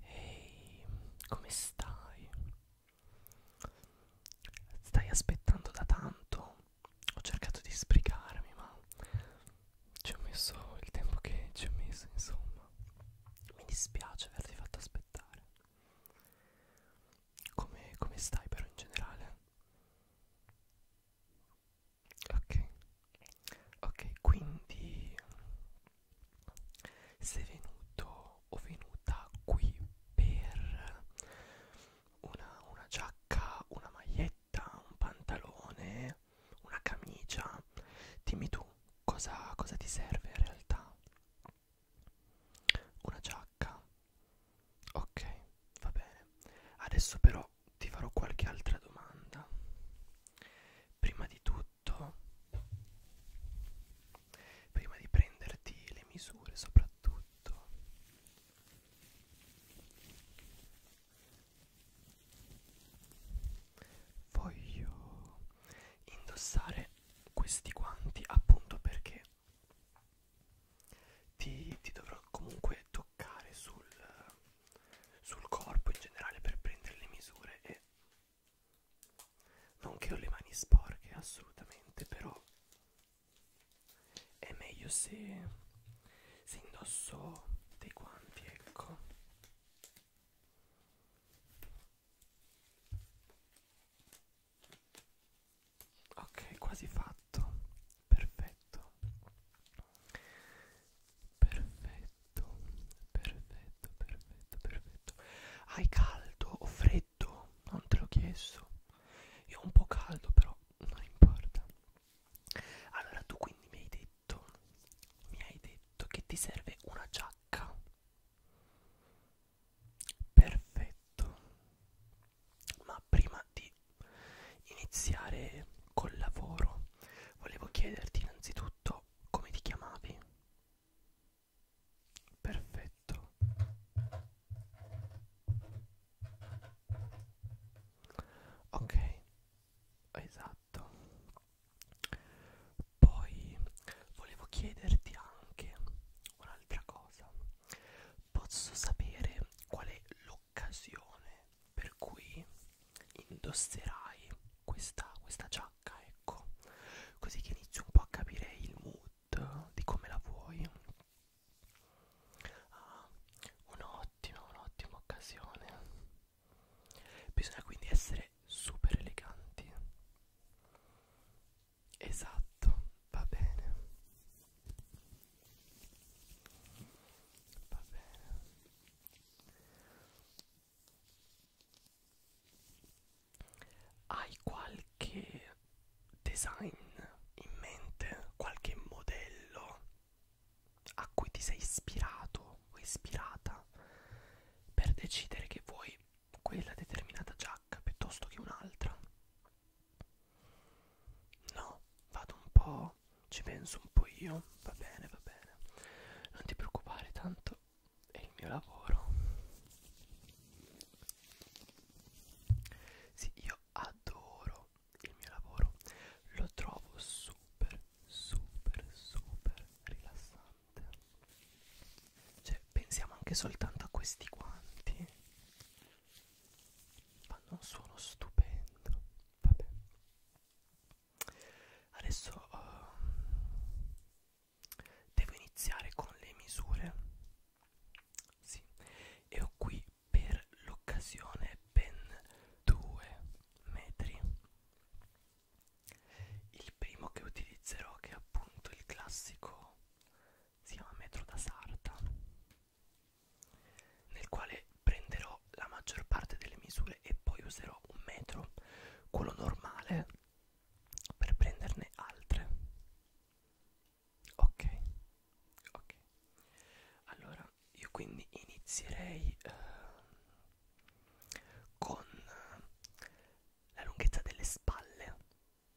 Ehi, come stai? Stai aspettando da tanto? Ho cercato di sbrigarmi, ma ci ho messo il tempo che ci ho messo, insomma. Mi dispiace averti fatto aspettare. Come, come stai però in generale? ok ok quindi sei venuto o venuta qui per una, una giacca una maglietta un pantalone una camicia dimmi tu cosa, cosa ti serve in realtà una giacca Ok, va bene. Adesso però ti farò qualche altra domanda. Prima di tutto, prima di prenderti le misure soprattutto. Voglio indossare questi guanti appunto perché ti, ti dovrò comunque toccare sul, sul corpo in generale per prendere le misure e non che ho le mani sporche assolutamente però è meglio se, se indosso dei guanti ecco ok quasi fatto perfetto perfetto perfetto perfetto perfetto hai caldo o freddo non te l'ho chiesto io ho un po' caldo però non importa allora tu quindi mi hai detto mi hai detto che ti serve una giacca perfetto ma prima di iniziare col lavoro volevo chiederti innanzitutto come ti chiamavi perfetto ok esatto poi volevo chiederti anche un'altra cosa posso sapere qual è l'occasione per cui indosserai questa, questa giacca, ecco, così che inizi un po' a capire il mood di come la vuoi. Ah, un'ottima, un'ottima occasione. Bisogna quindi essere super eleganti. Esatto, va bene va bene hai qualche design in mente qualche modello a cui ti sei ispirato o ispirata per decidere che vuoi quella determinata giacca piuttosto che un'altra No, vado un po', ci penso un po' io, va bene, va bene. Non ti preoccupare, tanto è il mio lavoro. Sì, io adoro il mio lavoro, lo trovo super, super, super rilassante. Cioè, pensiamo anche soltanto a questi guanti fanno un suono stupendo vabbè adesso uh, devo iniziare con le misure sì e ho qui per l'occasione ben due metri il primo che utilizzerò che è appunto il classico si chiama metro da sarta nel quale prenderò la maggior parte delle misure e poi userò un metro, quello normale, per prenderne altre. Ok, ok. Allora, io quindi inizierei ehm, eh, con la lunghezza delle spalle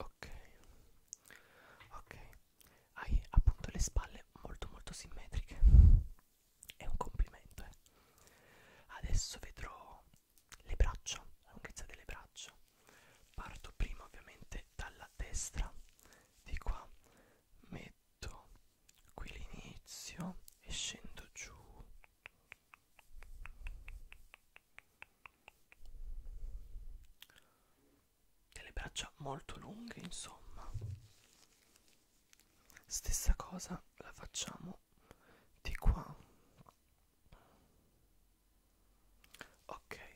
ok ok hai appunto le spalle molto molto simmetriche è un complimento eh. adesso vedrò le braccia la lunghezza delle braccia parto prima ovviamente dalla destra di qua metto qui l'inizio e scendo giù delle braccia molto lunghe insomma stessa cosa la facciamo di qua ok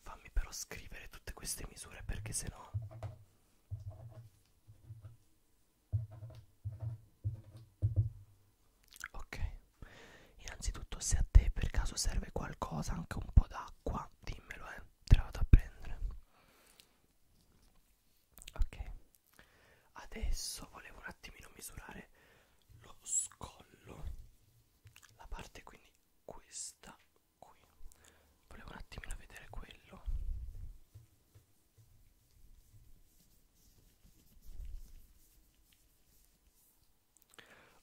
fammi però scrivere tutte queste misure perché sennò ok Innanzitutto se a te per caso serve qualcosa, anche un po' d'acqua, dimmelo eh, te la vado a prendere. Ok, adesso volevo un attimino misurare lo scollo, la parte quindi questa qui. Volevo un attimino vedere quello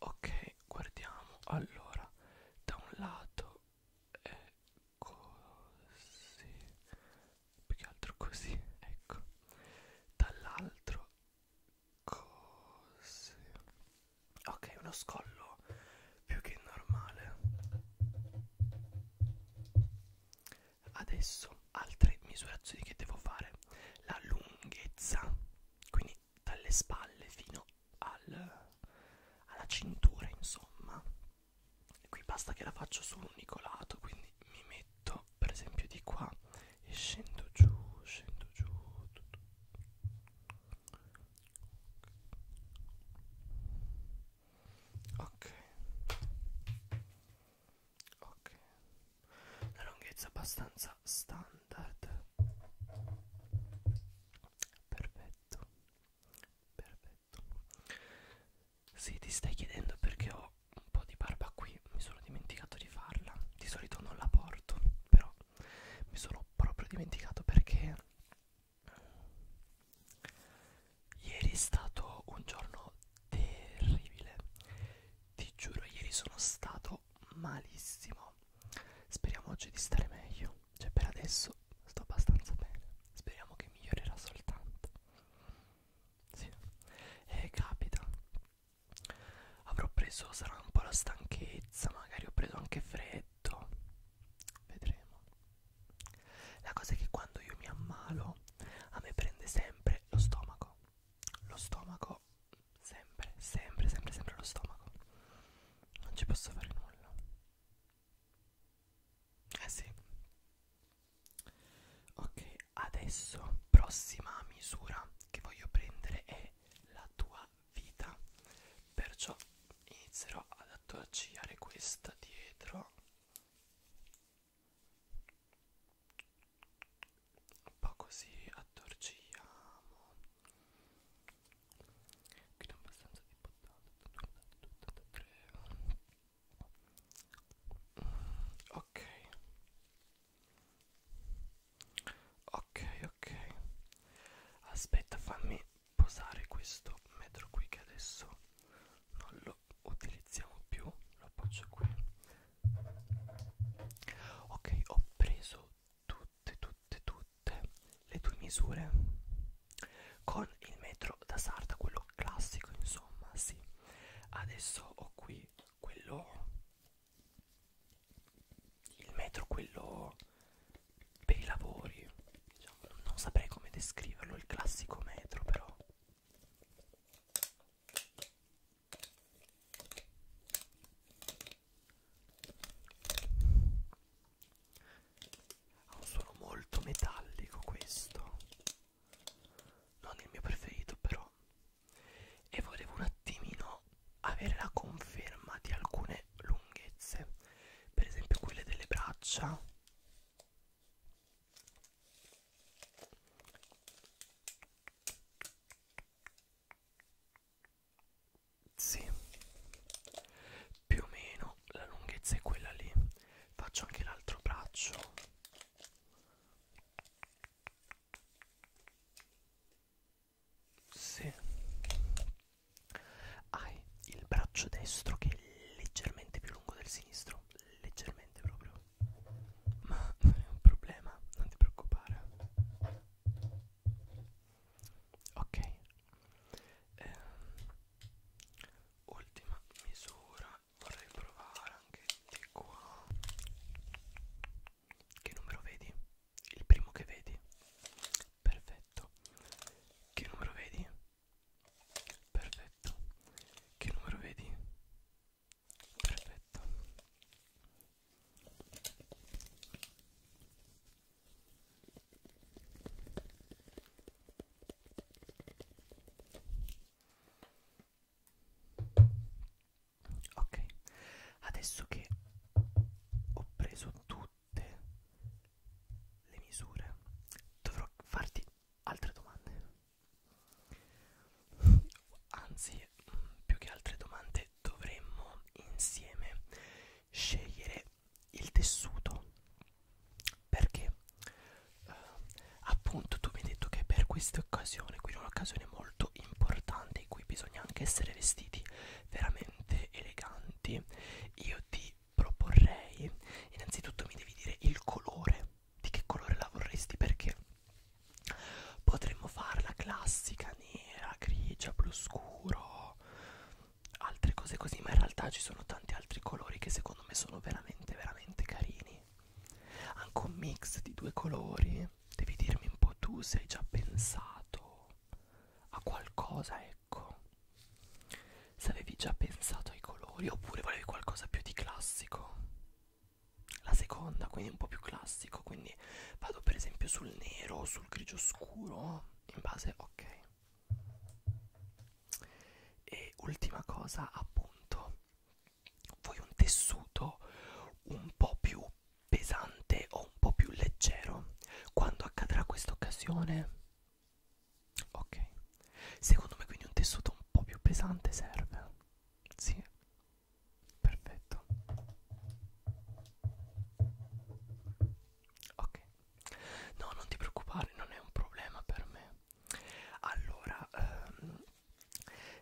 ok guardiamo allora da un lato è così più che altro così ecco dall'altro così ok uno scollo più che normale adesso altre misurazioni che devo fare la lunghezza quindi dalle spalle fino al, alla cintura insomma e qui basta che la faccio su un unico lato quindi mi metto per esempio di qua e scendo giù scendo giù ok ok una lunghezza abbastanza standard perfetto perfetto se ti stai chiedendo perché ho un po' di barba qui mi sono dimenticato di farla di solito non la porto però mi sono proprio dimenticato perché eh, ieri è stato un giorno terribile ti giuro ieri sono stato sto malissimo. Speriamo oggi di stare meglio. Cioè, per adesso sto abbastanza bene. Speriamo che migliorerà soltanto. Sì, eh, capita. Avrò preso, sarà un po' la stanchezza, magari ho preso anche freddo. Vedremo. La cosa è che quando io mi ammalo, a me prende sempre lo stomaco. Lo stomaco sempre, sempre, sempre, sempre lo stomaco. Non ci posso fare nulla. Eh sì. Ok, adesso prossima misura che voglio prendere è la tua vita. Perciò inizierò ad attacciare questa dietro un po' così attorcigliamo che è abbastanza di ok ok ok aspetta fammi posare questo metro qui che adesso non lo utilizziamo più lo appoggio qui ok ho preso tutte tutte tutte le tue misure con il metro da sarta quello classico insomma sì adesso ho qui quello il metro quello per i lavori diciamo, non saprei come descriverlo il classico metro però ha un suono molto metallico questo non il mio preferito però e volevo un attimino avere la conferma di alcune lunghezze per esempio quelle delle braccia sì, più o meno la lunghezza è quella lì. Faccio anche l'altro braccio. Sì, hai il braccio destro che è leggermente più lungo del sinistro, leggermente proprio. Ma non è un problema, non ti preoccupare ok eh, ultima misura vorrei provare anche di qua che numero vedi? il primo che vedi? perfetto che numero vedi? perfetto che numero vedi? perfetto ok adesso che ho preso tutte le misure dovrò farti altre domande anzi mm, più che altre domande dovremmo insieme scegliere il tessuto perché eh, appunto tu mi hai detto che per questa occasione quindi un'occasione molto importante in cui bisogna anche essere vestiti veramente eleganti io ti proporrei innanzitutto mi devi dire il colore di che colore la vorresti perché Potremmo fare la classica nera, grigia, blu scuro, altre cose così, ma in realtà ci sono tanti altri colori che secondo me sono veramente, veramente carini. Anche un mix di due colori, devi dirmi un po' tu se hai già pensato a qualcosa, ecco. Se avevi già pensato ai colori oppure volevi qualcosa più di classico la seconda quindi un po' più classico quindi vado per esempio sul nero o sul grigio scuro in base ok e ultima cosa appunto vuoi un tessuto un po' più pesante o un po' più leggero quando accadrà questa occasione ok secondo me quindi un tessuto un po' più pesante serve sì perfetto ok no non ti preoccupare non è un problema per me allora ehm,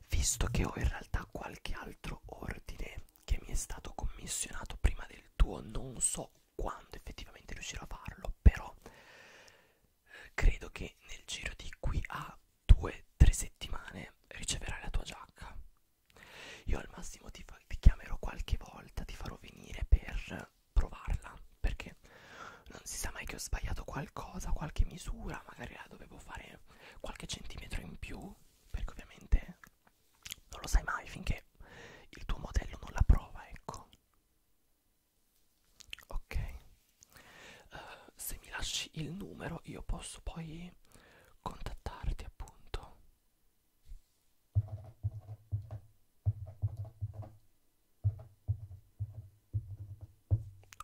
visto che ho in realtà qualche altro ordine che mi è stato commissionato prima del tuo non so quando effettivamente riuscirò a farlo però eh, credo che nel giro di qui a due tre settimane riceverai la tua giacca io al massimo ti, fa, ti chiamerò qualche volta ti farò venire per provarla perché non si sa mai che ho sbagliato qualcosa qualche misura magari la dovevo fare qualche centimetro in più perché ovviamente non lo sai mai finché il tuo modello non la prova ecco ok uh, se mi lasci il numero io posso poi contattarti appunto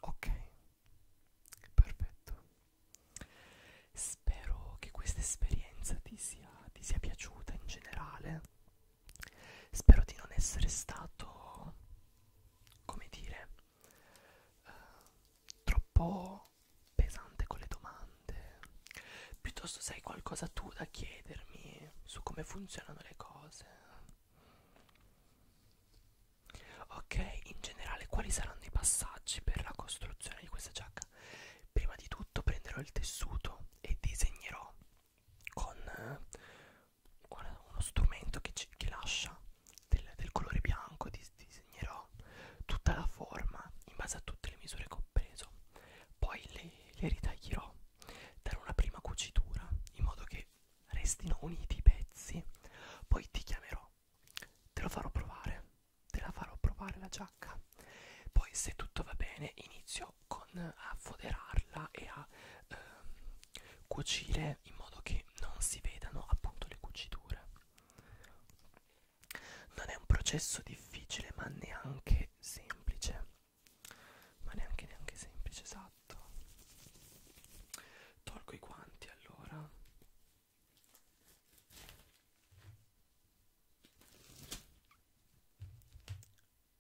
ok perfetto spero che questa esperienza ti sia, ti sia piaciuta in generale spero di non essere stato come dire uh, troppo pesante con le domande piuttosto se hai qualcosa tu da chiedermi su come funzionano le cose ok in generale quali saranno i passaggi per la costruzione di questa giacca prima di tutto prenderò il tessuto e disegnerò con eh, uno strumento che, ci, che lascia del, del colore bianco disegnerò tutta la forma in base a tutte le misure che ho preso poi le, le ritaglierò darò una prima cucitura in modo che restino uniti i pezzi poi ti chiamerò te lo farò provare te la farò provare la giacca poi se tutto va bene inizio con a foderarla e a ehm, cucire in modo che non si vedano appunto le cuciture non è un processo difficile, ma neanche semplice. Ma neanche neanche semplice, esatto. Tolgo i guanti allora.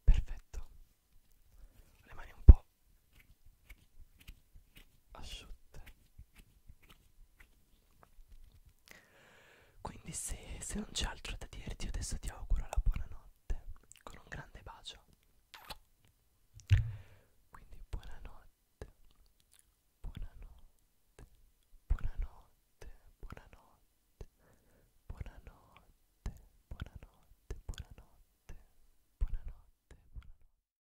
Perfetto. Le mani un po' asciutte quindi se, se non c'è altro da dirti adesso ti auguro la buonanotte con un grande bacio quindi buonanotte buonanotte buonanotte buonanotte buonanotte buonanotte buonanotte buonanotte buonanotte